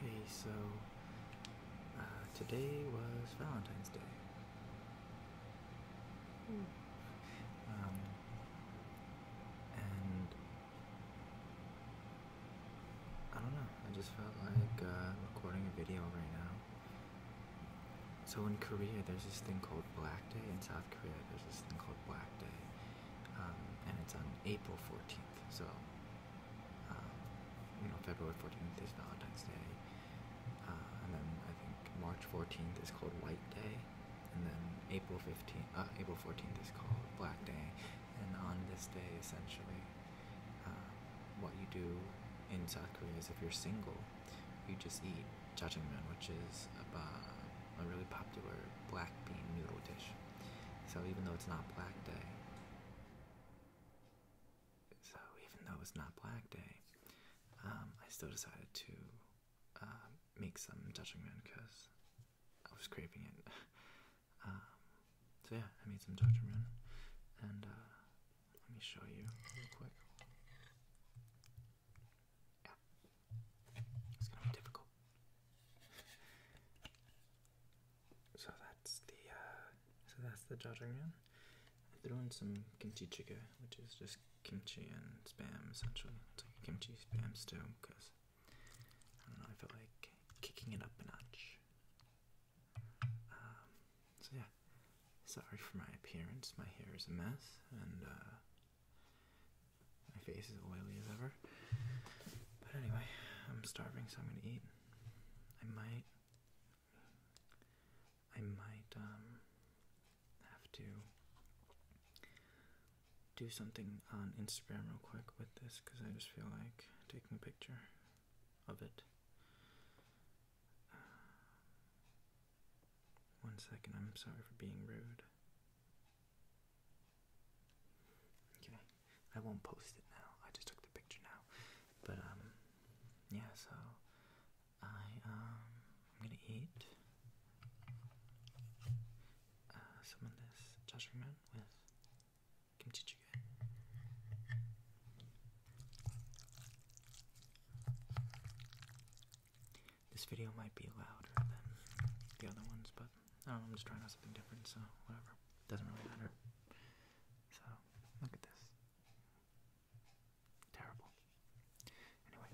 Hey, so uh, today was Valentine's Day. Um, and I don't know, I just felt like uh, recording a video right now. So in Korea, there's this thing called Black Day. In South Korea, there's this thing called Black Day. Um, and it's on April 14th. So, um, you know, February 14th is Valentine's Day, uh, and then I think March 14th is called White Day, and then April 15th, uh, April 14th is called Black Day, and on this day, essentially, uh, what you do in South Korea is if you're single, you just eat jjajangmyeon, which is a really popular black bean noodle dish. So even though it's not Black Day, so even though it's not Black Day, um, I still decided to uh, make some Dutchman because I was craving it. Um, so yeah, I made some Dutchman, and uh, let me show you real quick. It's gonna be difficult. So that's the uh, so that's the jajangmyeon. I threw in some kimchi jjigae, which is just kimchi and spam essentially. It's like kimchi spam stew because I don't know. I felt like kicking it up a notch. Um, so yeah, sorry for my appearance. My hair is a mess, and uh, my face is oily as ever. But anyway, I'm starving, so I'm gonna eat. I might. I might um, have to do something on Instagram real quick with this because I just feel like taking a picture of it. Uh, one second, I'm sorry for being rude. Okay, I won't post it now. I just took the picture now. But, um, yeah, so I, um, I'm gonna eat uh, some of this jajangmyeon with kimchi jjigae. This video might be louder than the other ones, but I don't know, I'm just trying out something different, so whatever. Doesn't really matter. So, look at this. Terrible. Anyway.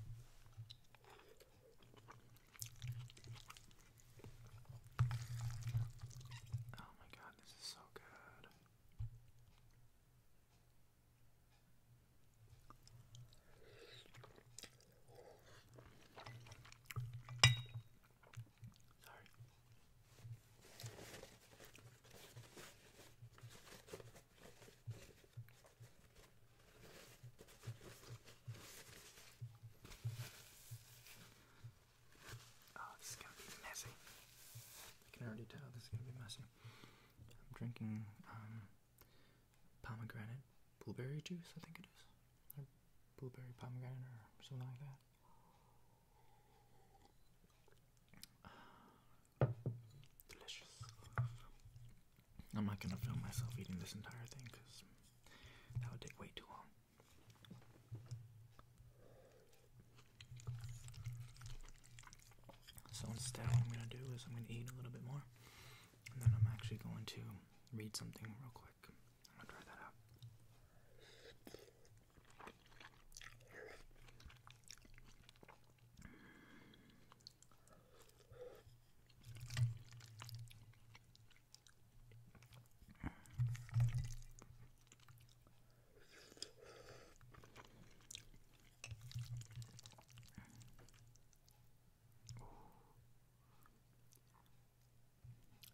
Oh my god, this is so good. Oh, this is gonna be messy. I can already tell this is gonna be messy. I'm drinking um, pomegranate blueberry juice, I think it is. blueberry pomegranate or something like that. Delicious. I'm not gonna film myself eating this entire thing because that would take way too long. So instead, what I'm gonna do is I'm gonna eat a little bit more. And then I'm actually going to read something real quick. I'm gonna try that out.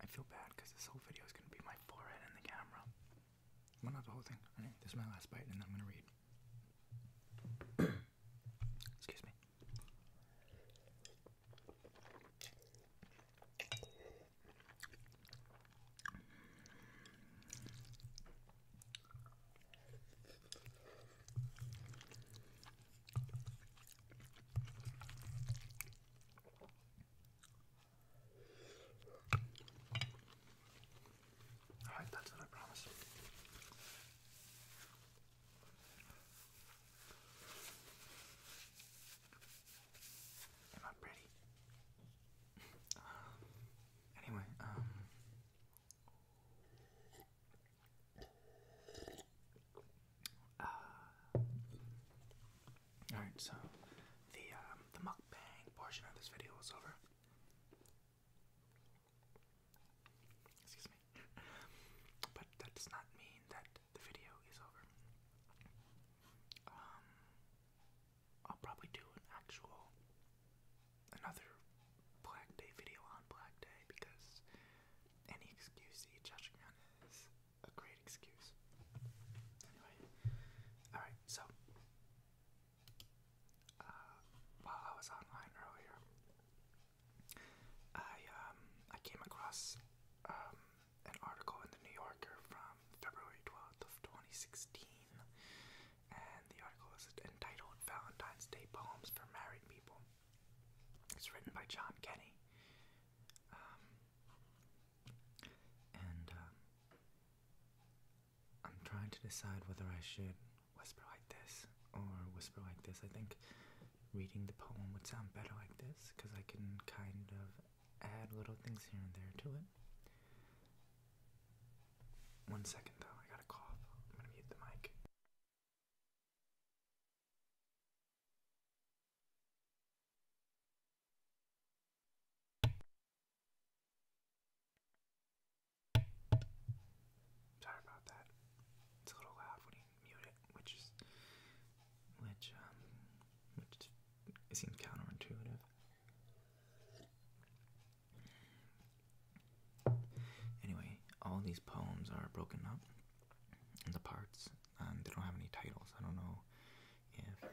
I feel bad because this whole video is going to be my forehead in the camera. Well, not the whole thing. this is my last bite, and I'm going to read. Excuse me. Alright, that's it, I promise. Am I pretty? anyway, um, uh, all right, so the um, the mukbang portion of this video is over. Excuse me, but that does not mean that the video is over. Um, I'll probably do an actual another Black Day video on Black Day because any excuse to eat chashigan is a great excuse. Anyway, all right. So uh, while I was online earlier, I um I came across um, an article in the New Yorker from February twelfth of twenty sixteen and the article is entitled Valentine's Day Poems for Married People. It's written by John Kenny. Um, and um, I'm trying to decide whether I should whisper like this or whisper like this. I think reading the poem would sound better like this because I can kind of add little things here and there to it. One second though, I gotta cough. I'm gonna mute the mic. Sorry about that. It's a little loud when you mute it, which is which um, which seems counterintuitive. Anyway, all these poems are broken up into parts, and they don't have any titles. I don't know if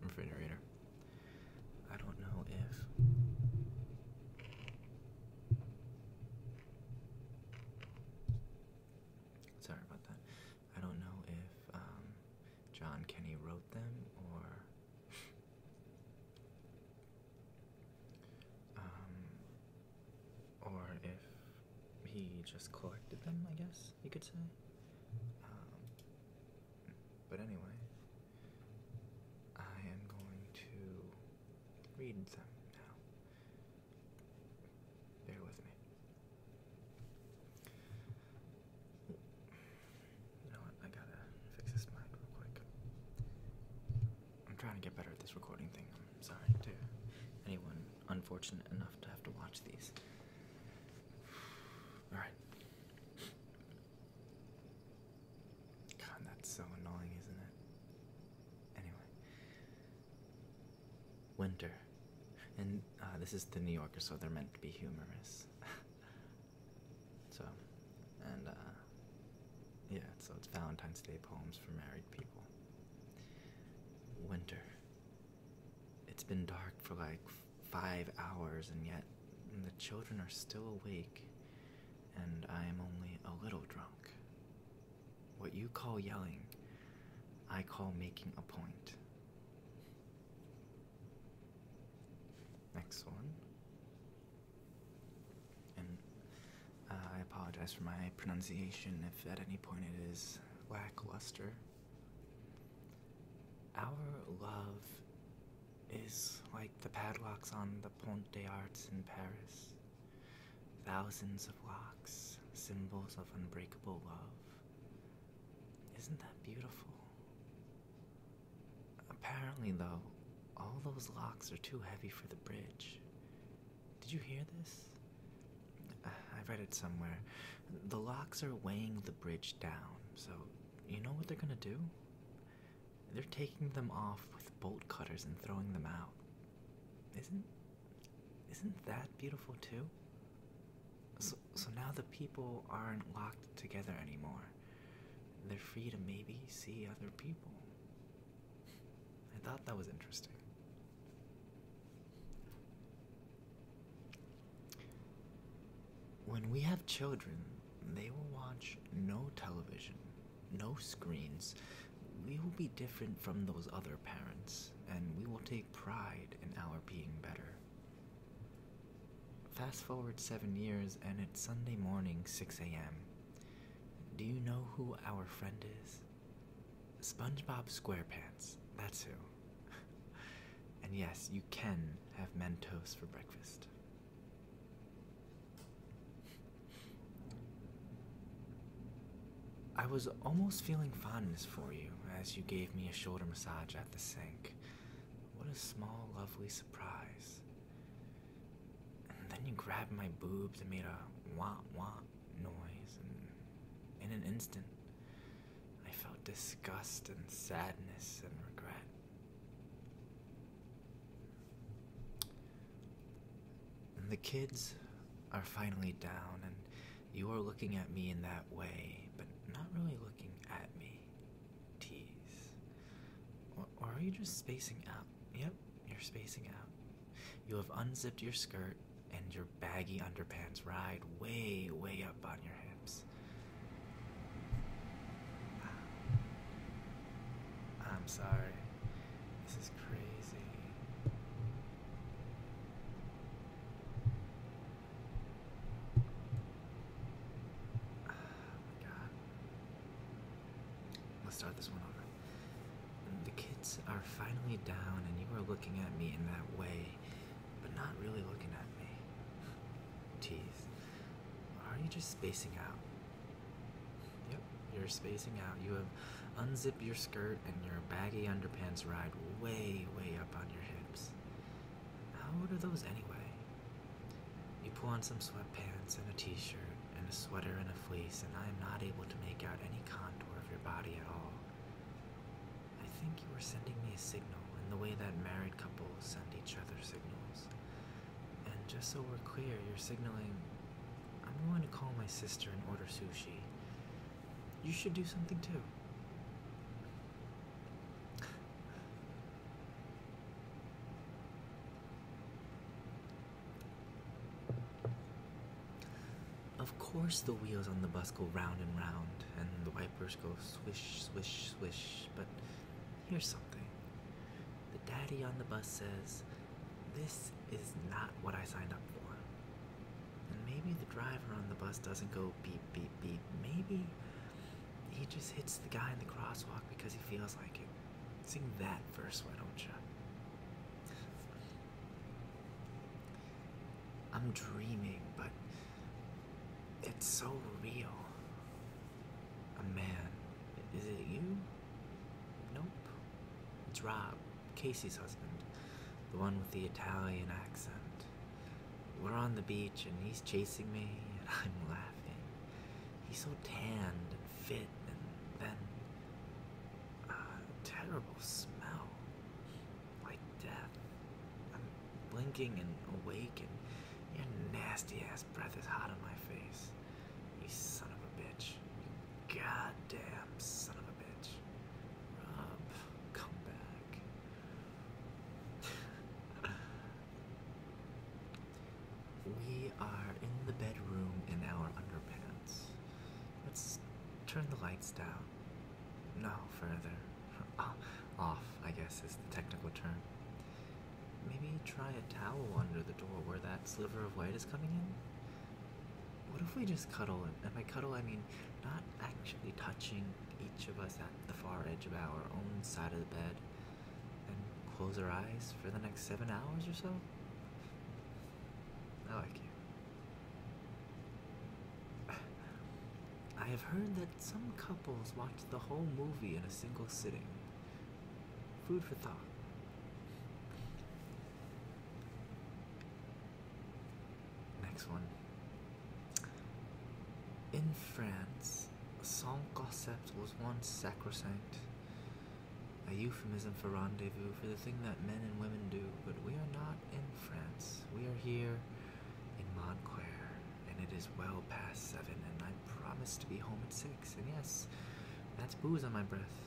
refrigerator. I don't know if sorry about that. I don't know if um, John Kenny wrote them or. Um, or if he just collected them, I guess you could say. Um, but anyway, I am going to read them now. Bear with me. You know what? I gotta fix this mic real quick. I'm trying to get better at this recording thing. I'm sorry to anyone unfortunate enough to have to watch these. Alright. God, that's so annoying, isn't it? Anyway winter. And uh, this is the New Yorker, so they're meant to be humorous. so, and uh, yeah, so it's Valentine's Day poems for married people. Winter. It's been dark for like five hours, and yet the children are still awake, and I am only a little drunk. What you call yelling, I call making a point. Next one. And uh, I apologize for my pronunciation if at any point it is lackluster. Our love is like the padlocks on the Pont des Arts in Paris. Thousands of locks, symbols of unbreakable love. Isn't that beautiful? Apparently, though, all those locks are too heavy for the bridge. Did you hear this? Uh, I read it somewhere. The locks are weighing the bridge down, so you know what they're gonna do? They're taking them off with bolt cutters and throwing them out. Isn't isn't that beautiful too? So, so now the people aren't locked together anymore. They're free to maybe see other people. I thought that was interesting. When we have children, they will watch no television no screens, we will be different from those other parents, and we will take pride in our being better. Fast forward seven years, and it's Sunday morning, 6 a.m. Do you know who our friend is? SpongeBob SquarePants, that's who. and yes, you can have Mentos for breakfast. I was almost feeling fondness for you as you gave me a shoulder massage at the sink. What a small, lovely surprise. And then you grabbed my boobs and made a wah wah noise, and in an instant, I felt disgust and sadness and regret. And the kids are finally down, and you are looking at me in that way, but not really looking at me. Tease. Or, or are you just spacing out? Yep, you're spacing out. You have unzipped your skirt, and your baggy underpants ride way, way up on your hips. I'm sorry. This is crazy. Oh my god. Let's start this one over. Mm, the kids are finally down, and you are looking at me in that way, but not really looking at me. Tease. are you just spacing out? Yep, you're spacing out. You have unzipped your skirt and your baggy underpants ride way, way up on your hips. How old are those anyway? You pull on some sweatpants and a t shirt and a sweater and a fleece, and I am not able to make out any contour of your body at all. I think you were sending me a signal in the way that married couples send each other signals. And just so we're clear, you're signaling, I'm going to call my sister and order sushi. You should do something too. Of course, the wheels on the bus go round and round, and the wipers go swish, swish, swish, but here's something. The daddy on the bus says, this is not what I signed up for. maybe the driver on the bus doesn't go beep, beep, beep. Maybe he just hits the guy in the crosswalk because he feels like it. Sing that verse, why don't you? I'm dreaming, but it's so real. A man, is it you? Nope. It's Rob, Casey's husband, the one with the Italian accent. We're on the beach and he's chasing me and I'm laughing. He's so tanned and fit and then terrible smell. Like death. I'm blinking and awake and your nasty ass breath is hot on my face. You son of a bitch. You goddamn son of a bitch. Rob, come back. we are in the bedroom in our underpants. Let's turn the lights down. No, further. Off, I guess, is the technical term. Maybe try a towel under the door where that sliver of light is coming in? What if we just cuddle? And by cuddle, I mean not actually touching each of us at the far edge of our own side of the bed and close our eyes for the next seven hours or so? I like you. I have heard that some couples watch the whole movie in a single sitting. Food for thought. Next one. In France, sans cosset was once sacrosanct, a euphemism for rendezvous, for the thing that men and women do, but we are not in France. We are here in Montclair, and it is well past seven, and I promised to be home at six. And yes, that's booze on my breath.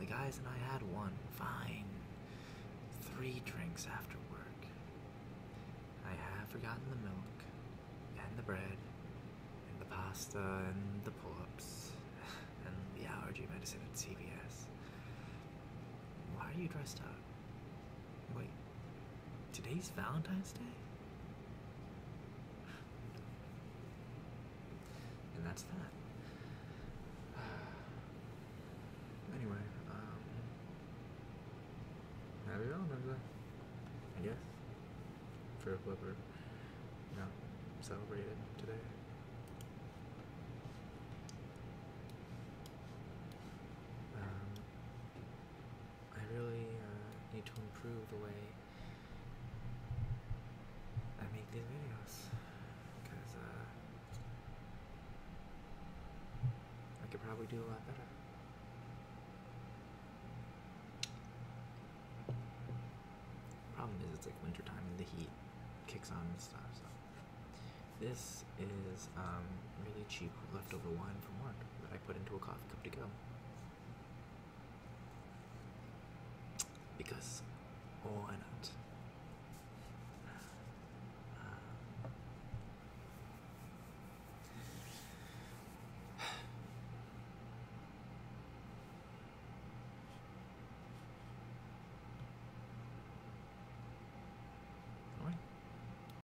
The guys and I had one, fine. Three drinks after work. I have forgotten the milk, and the bread, and the pasta, and the pull ups, and the allergy medicine at CVS. Why are you dressed up? Wait, Today's Valentine's Day? And that's that. Anyway, um, happy Valentine's Day. I guess. For whoever, you know, celebrated today. Um, I really uh, need to improve the way I make these videos because uh, I could probably do a lot better. Problem is, it's like wintertime and the heat kicks on and stuff. So this is um, really cheap leftover wine from work that I put into a coffee cup to go. Because why not? Uh,